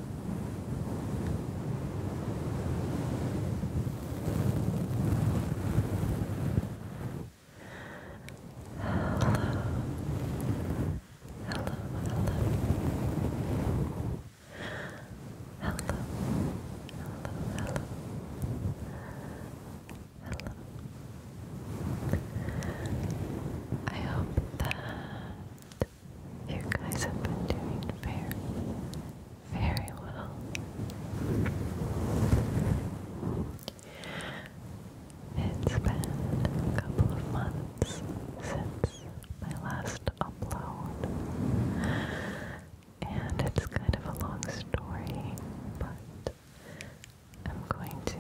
Hello. Hello, hello. Hello. Hello, hello. I hope that you guys have been doing very, very well. It's been a couple of months since my last upload, and it's kind of a long story, but I'm going to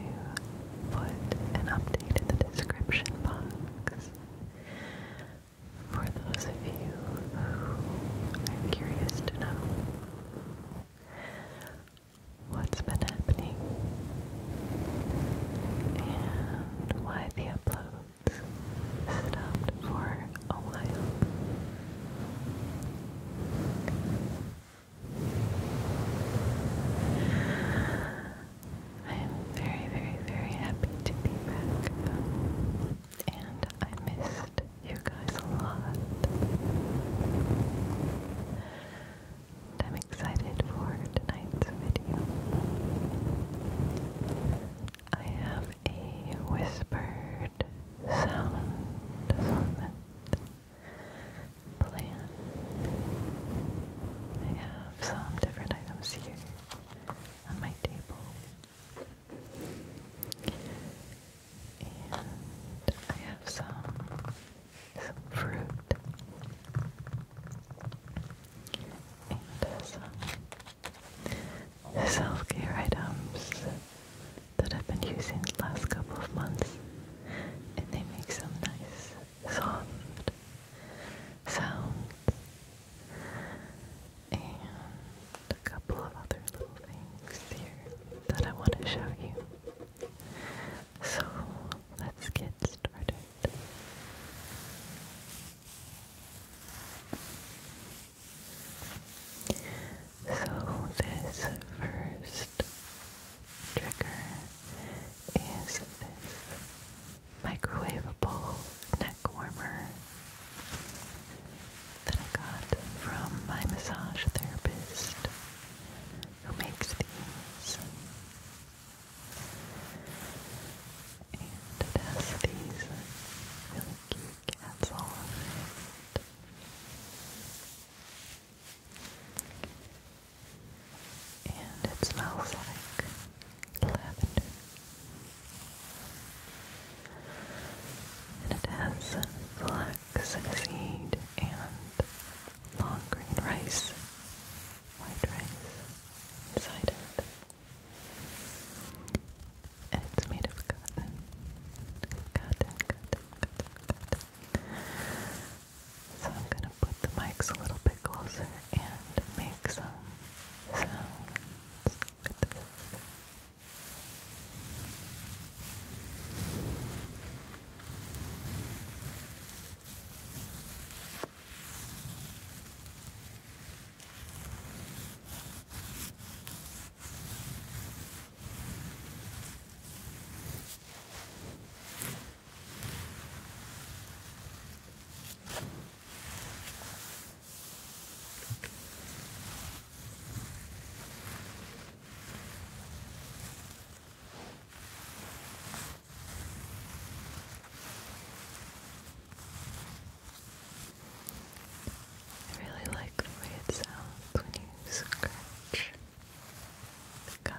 put an update in the description box for those of you who are curious to know what's been happening and why the uploads stopped for a while. I am very, very, very happy to be back. and I missed you guys a lot. I'm excited for tonight's video. I have a whispered sound assortment plan. I have some different items here on my table. And I have some some fruit and some self-care items that I've been using the last couple of months and they make some nice soft sounds and a couple of other little things here that I want to show you. So let's get started. So this first trigger is this microwavable neck warmer that I got from my massage therapist who makes these. And has these really cute cats all over it. And it smells like lavender. And it has flax seed and long green rice, white rice inside it. it's made of cotton. Cotton, cotton, cotton, cotton. So I'm going to put the mics a little bit closer and make some sounds I really like the way it sounds when you scratch the gum.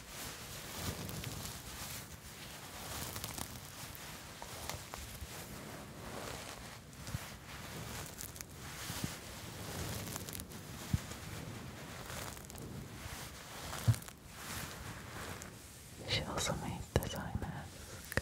She also made this eye mask.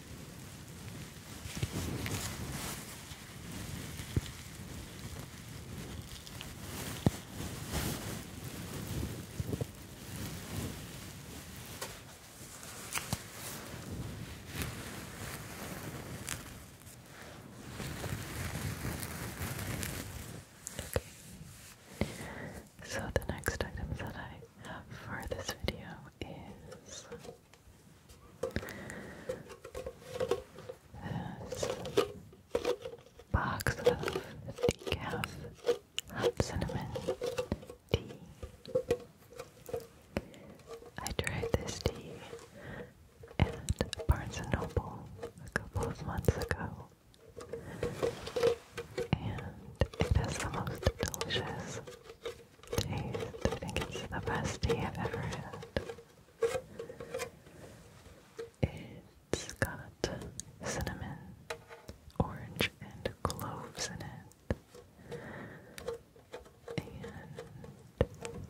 Okay. So the next item that I have for this video is box of decaf hot cinnamon tea. I tried this tea at Barnes & Noble a couple of months ago. And it the most delicious I think it's the best tea I've ever had. It's got cinnamon, orange, and cloves in it. And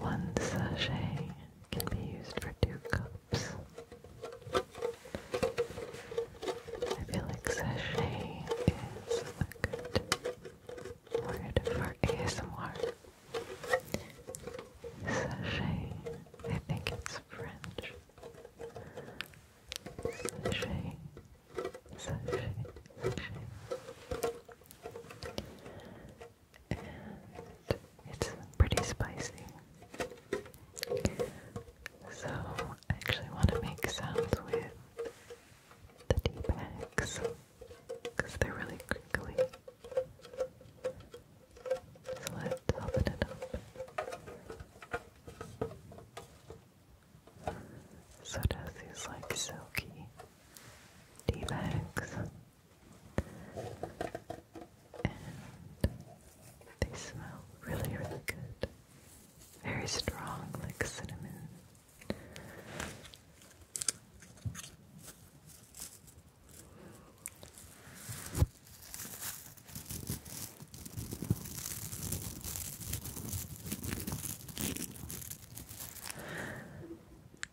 one sachet can be used for two cups. I feel like sachet is a good word for ASMR. Sachet, I think it's French. Sachet, sachet, And it's pretty spicy. So I actually want to make sounds with the tea bags because they're really crinkly. So let's open it up. So these like silky tea bags. And they smell really, really good. Very strong, like cinnamon.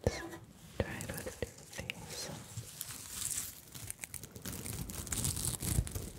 Just with two of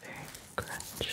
Very crunchy.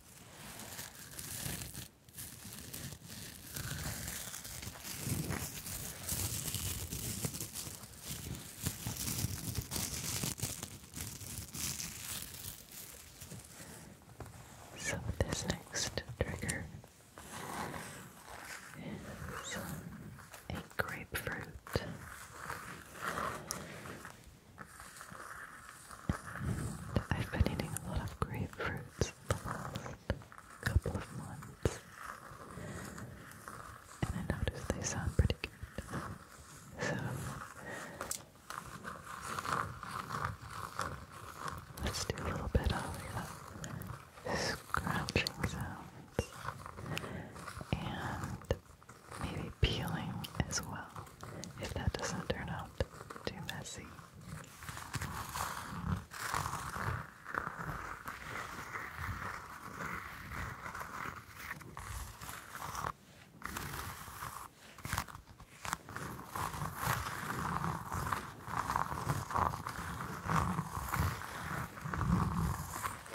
So, this next trigger is a grapefruit. I've been eating a lot of grapefruits the last couple of months. And I noticed they sound pretty good. So let's do a little bit of uh, scratching sounds and maybe peeling as well if that doesn't turn out too messy.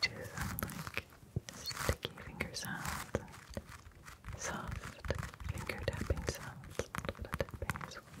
Do some like sticky finger sounds soft finger tapping sounds. Tapping as well.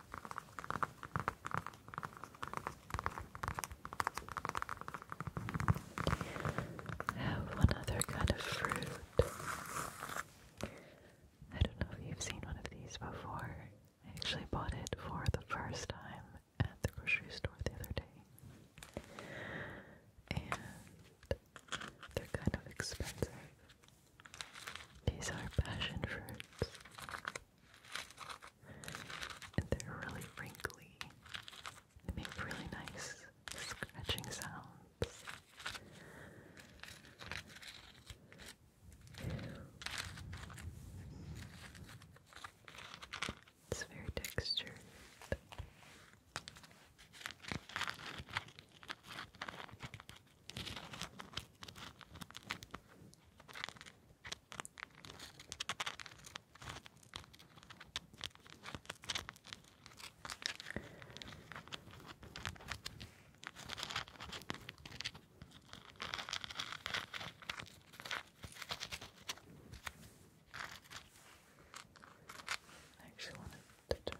I have one other kind of fruit. I don't know if you've seen one of these before. I actually bought it for the first time at the grocery store the other day. And they're kind of expensive. These are passion fruits. And they're really wrinkly. They make really nice scratching sounds. It's very textured. I actually wanted to turn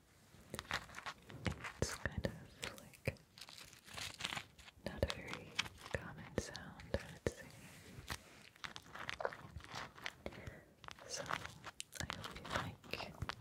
It's kind of like not a very common sound, I would say. So, I hope you like something new.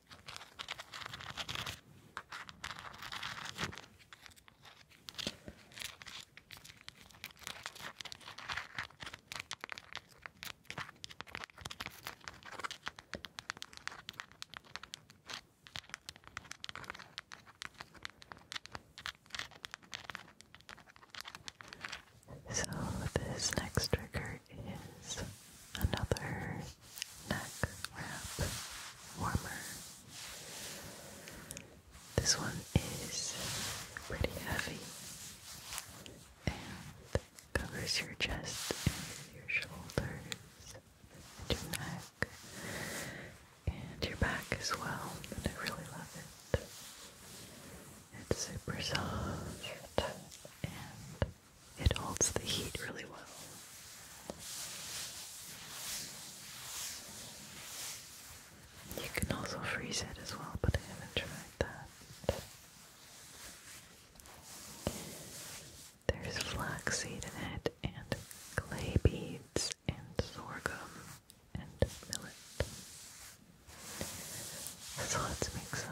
So, this next trigger is another neck wrap warmer. This one is pretty heavy and covers your chest your shoulders and your neck and your back as well. And I really love it. It's super soft and it holds the heat really well. You can also freeze it as well, but I haven't tried that. There's flaxseed in it, and clay beads, and sorghum, and millet. So let's make some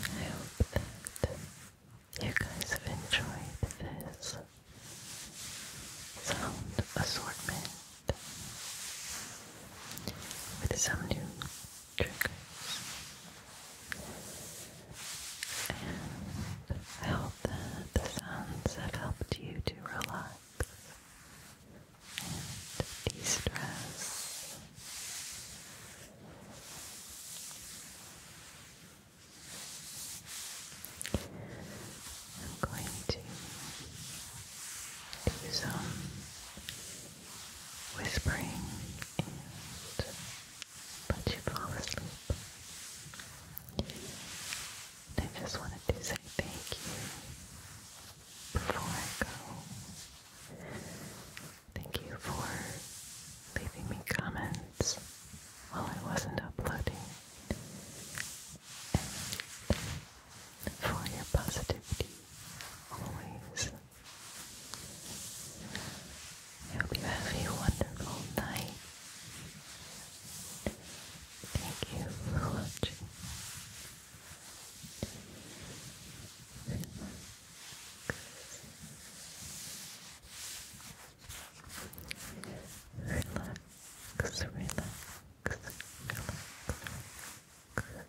I hope that you guys have enjoyed this sound assortment with some new triggers. I hope that the sounds have helped you to relax and de-stress. I'm going to do some um, whispering, but you fall asleep. And I just wanted to say thank you before I go. Thank you for leaving me comments while I wasn't uploading for your positivity always. hope you have a wonderful night. Thank you for watching. relax, relax, relax.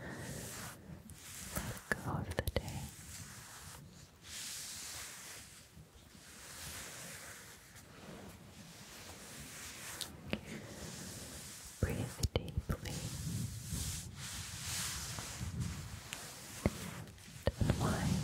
Let go of the day. Breathe deeply. Unwind.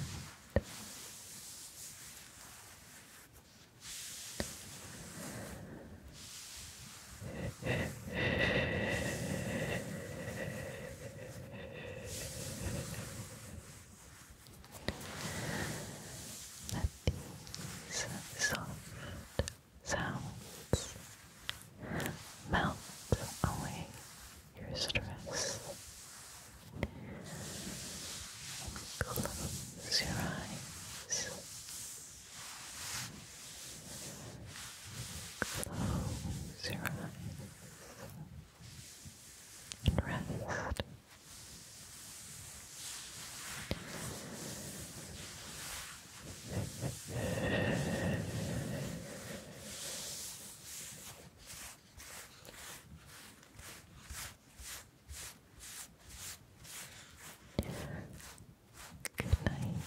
Let these soft sounds melt away your stress. close your eyes. Close your eyes and rest. Good night.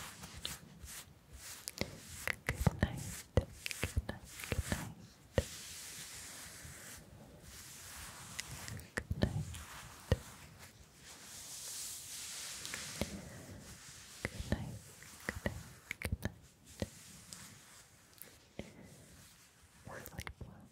Good night. Good night. Good night. Good night. Good night. Good night. Good night. Or sleep well.